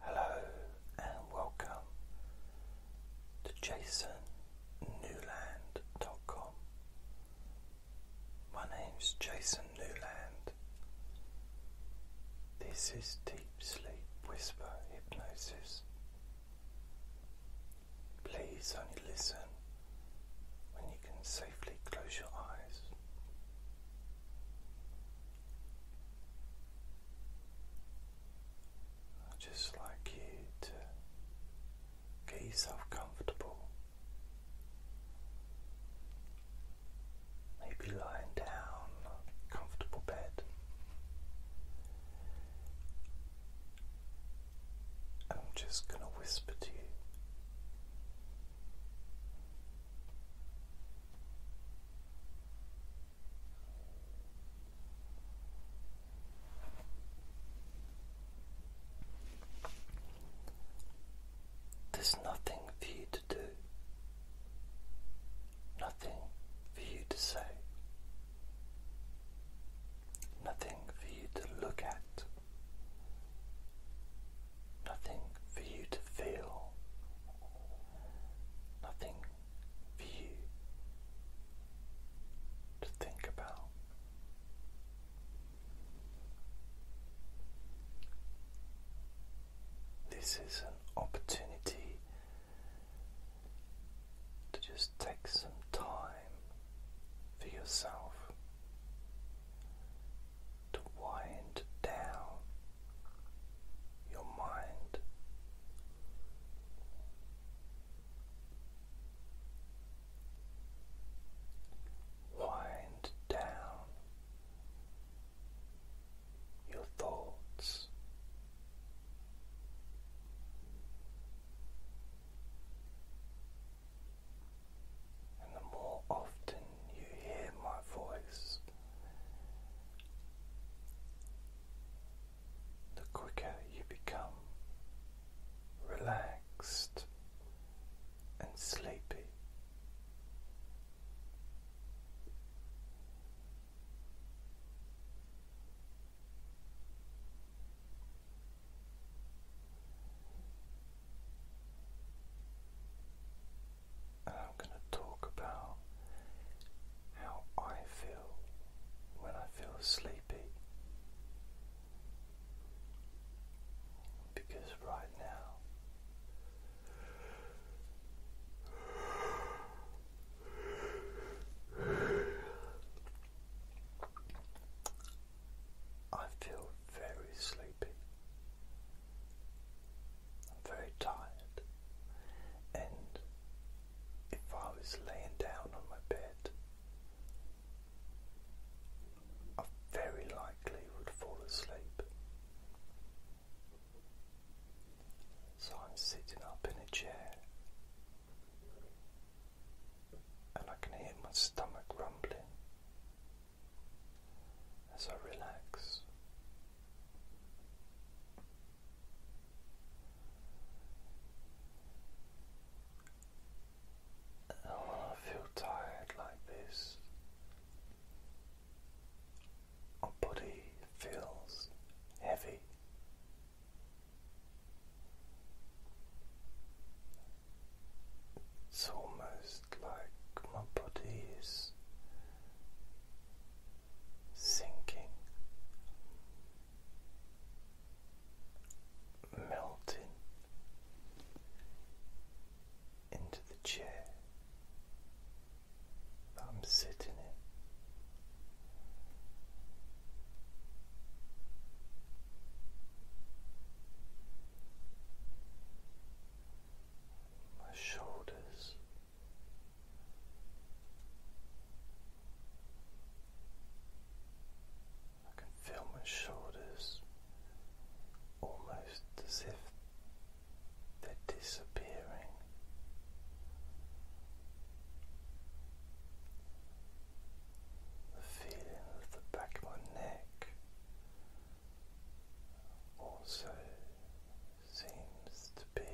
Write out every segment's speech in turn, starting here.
Hello and welcome to Jason Newland.com. My name is Jason Newland. This is Deep Sleep Whisper Hypnosis. Please only listen when you can safely close your eyes i just like you to get yourself comfortable. Maybe lying down, comfortable bed, I'm just going to whisper to you there's nothing for you to do, nothing for you to say, nothing for you to look at, nothing for you to feel nothing for you to think about. This is an opportunity to just take some time for yourself to wind down your mind. Wind down your thoughts. And the more often you hear my voice, the quicker you become relaxed and sleepy and I'm going to talk about how I feel when I feel sleepy. Because right now I feel very sleepy. I'm very tired. And if I was laying down on my bed, I very likely would fall asleep. So I'm sitting up in a chair and I can hear my stomach rumbling as I relax. when I feel tired like this, my body feels heavy. It's almost like my body is sinking, melting into the chair that I'm sitting in my shoulders. I can feel my shoulders almost as if they're disappearing. The feeling of the back of my neck also seems to be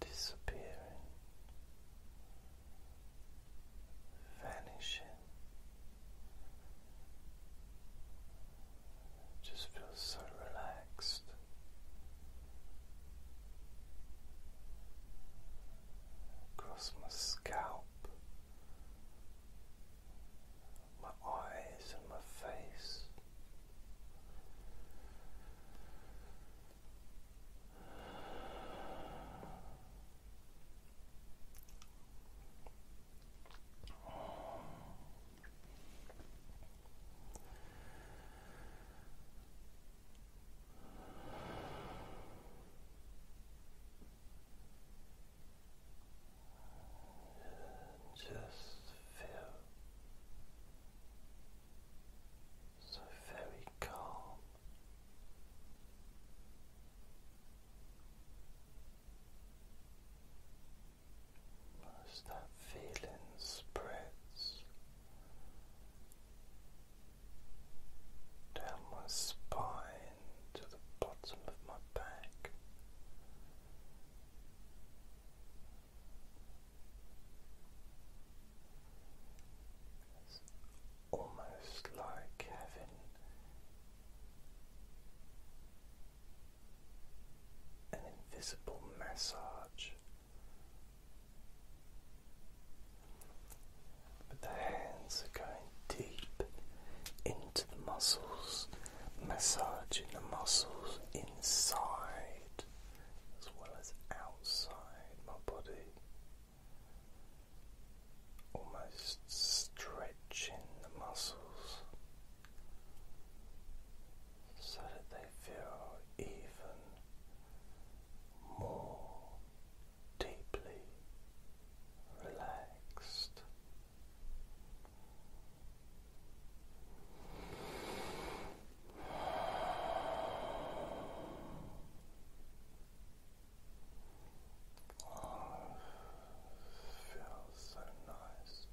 disappearing, vanishing. Just feels so relaxed. Across my scalp, my eyes and my face just feel so very calm. As that feeling spreads down my spine to the bottom of my back. It's almost like having an invisible massage but the hands are going deep into the muscles, massaging the muscles inside as well as outside my body, almost stretching the muscles so that they feel even more deeply relaxed. Oh, feels so nice.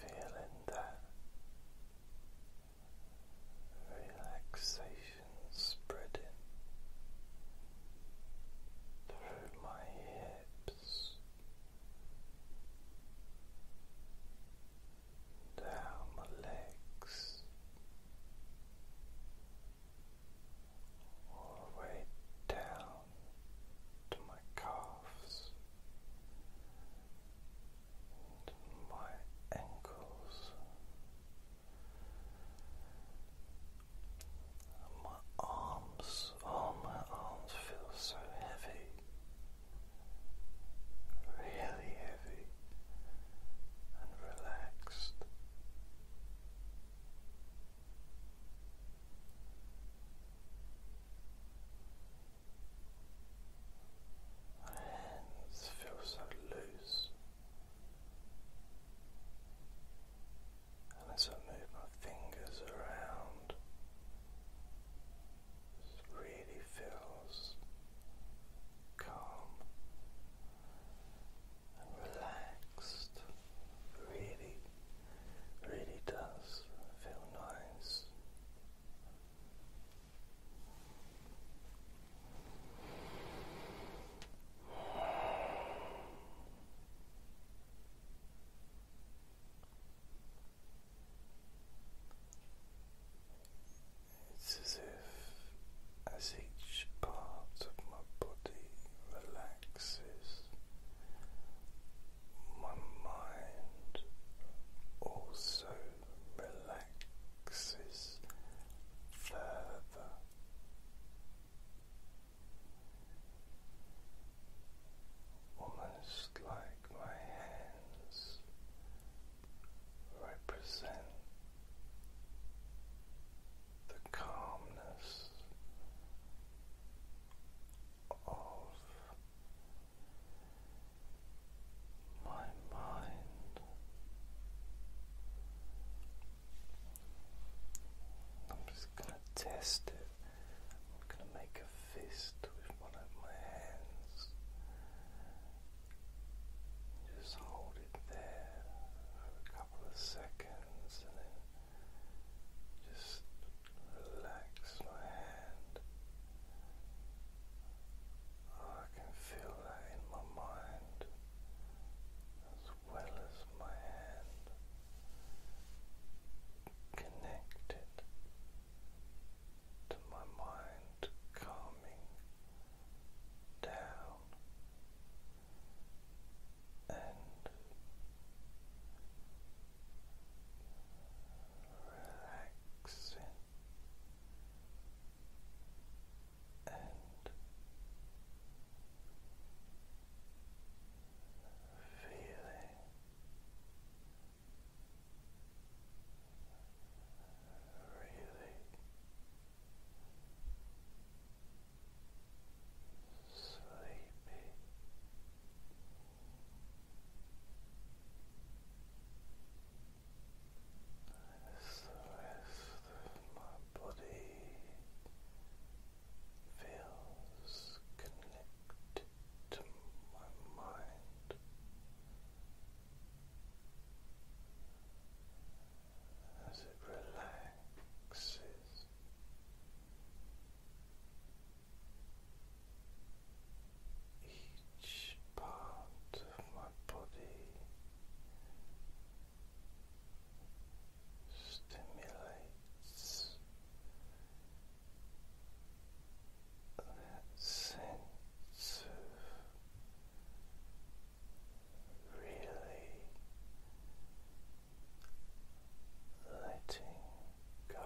Feeling that relaxation spreading through my hips, down my legs, all the way down to my calves my ankles, my arms, oh, my arms feel so heavy, really heavy and relaxed. My hands feel so loose, and as I move my fingers around, it really feels calm and relaxed. Really, really does feel nice. It's as if, as each part of my body relaxes, my mind also relaxes further. Almost like my hands represent the calmness of my mind. I'm just going to test it. I'm going to make a fist with one of my hands. Just hold it there for a couple of seconds and then just Relax my hand. I can feel that in my mind as well as my hand. Connect to my mind, calming down and relaxing relaxing and feeling really sleepy. As the rest of my body feels connected to my mind. As it relaxes, each part of my body stimulates that sense of really letting go.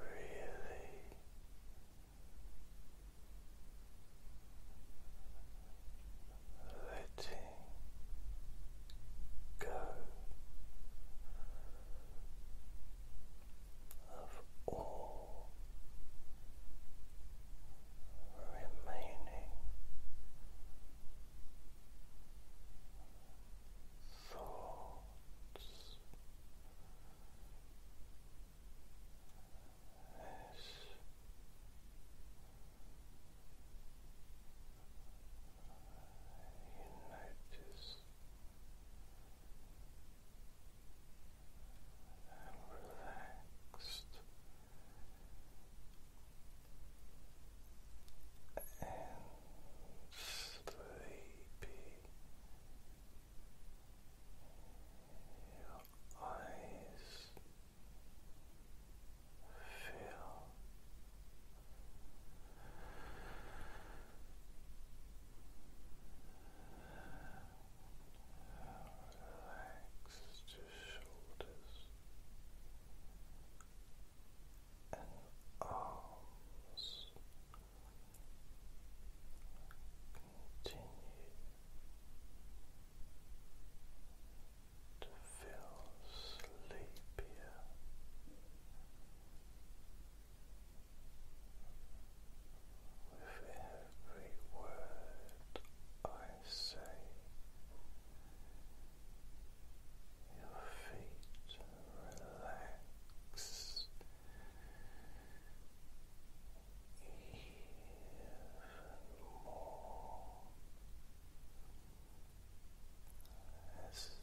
Really letting go of all remaining thoughts. This you notice and relaxed and sleepy. Your eyes feel relaxed to shoulders and arms continue to feel sleepier with every word I say your feet relax even more as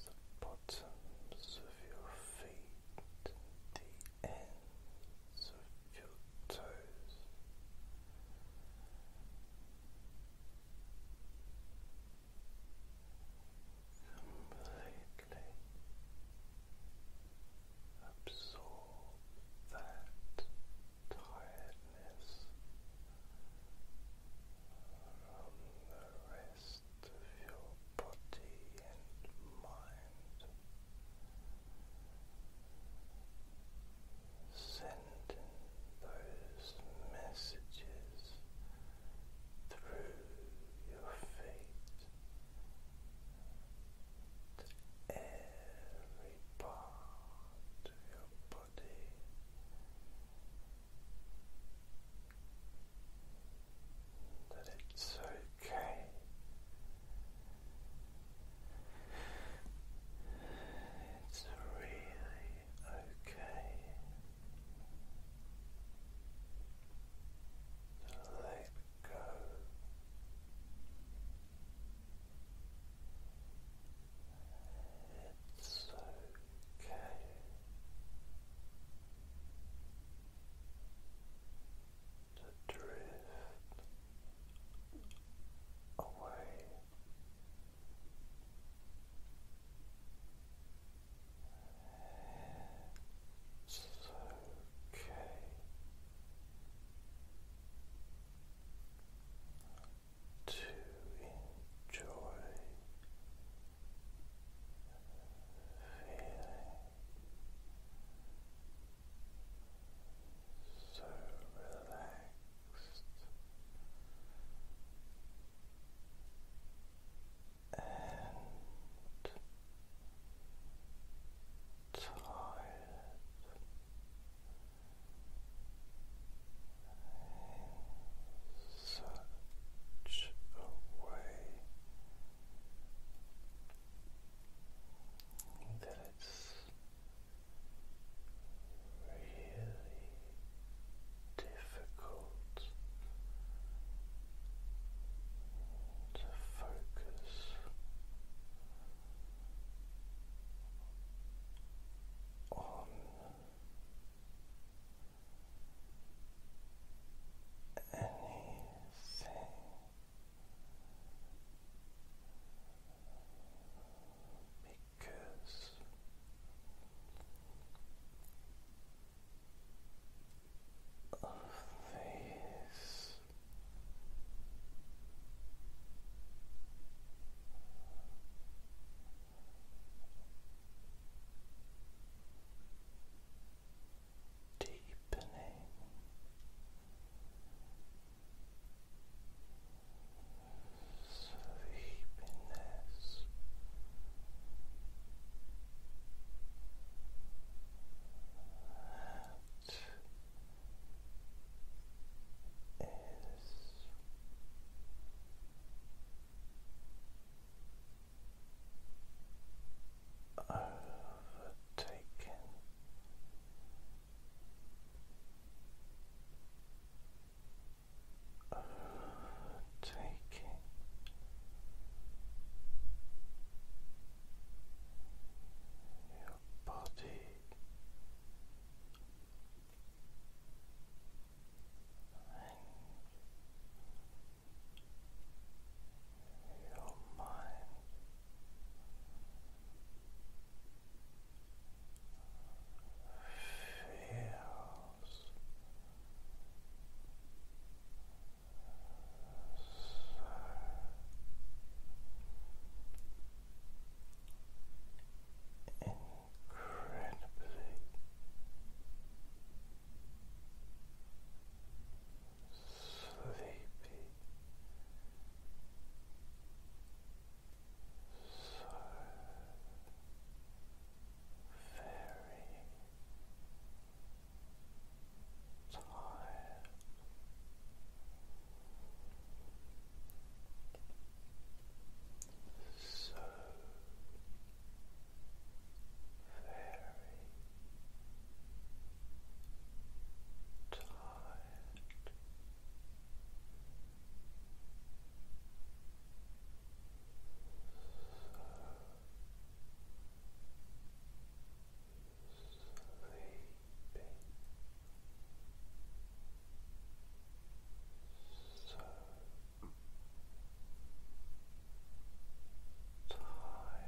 the bottoms of your feet and the ends of your toes. Completely absorb that tiredness from the rest of your body and mind sending those messages through your feet to every part of your body. That it's okay it's really okay to let go. It's okay. To drift away. It's okay. To enjoy feeling so relaxed and tired in such a way that it's really difficult to focus on anything because of these deepening sleepiness. That is overtaken. Overtaking. Your body your mind. Feels so incredibly sleepy, so very tired. So very tired. So sleepy. So tired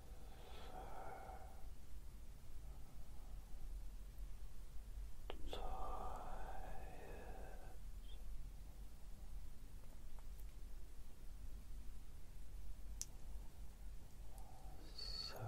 tired. So sleepy.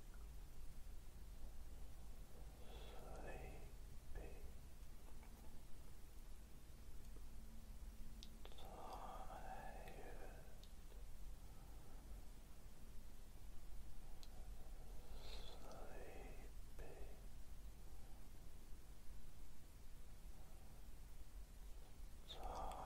sleepy tired sleepy Tired,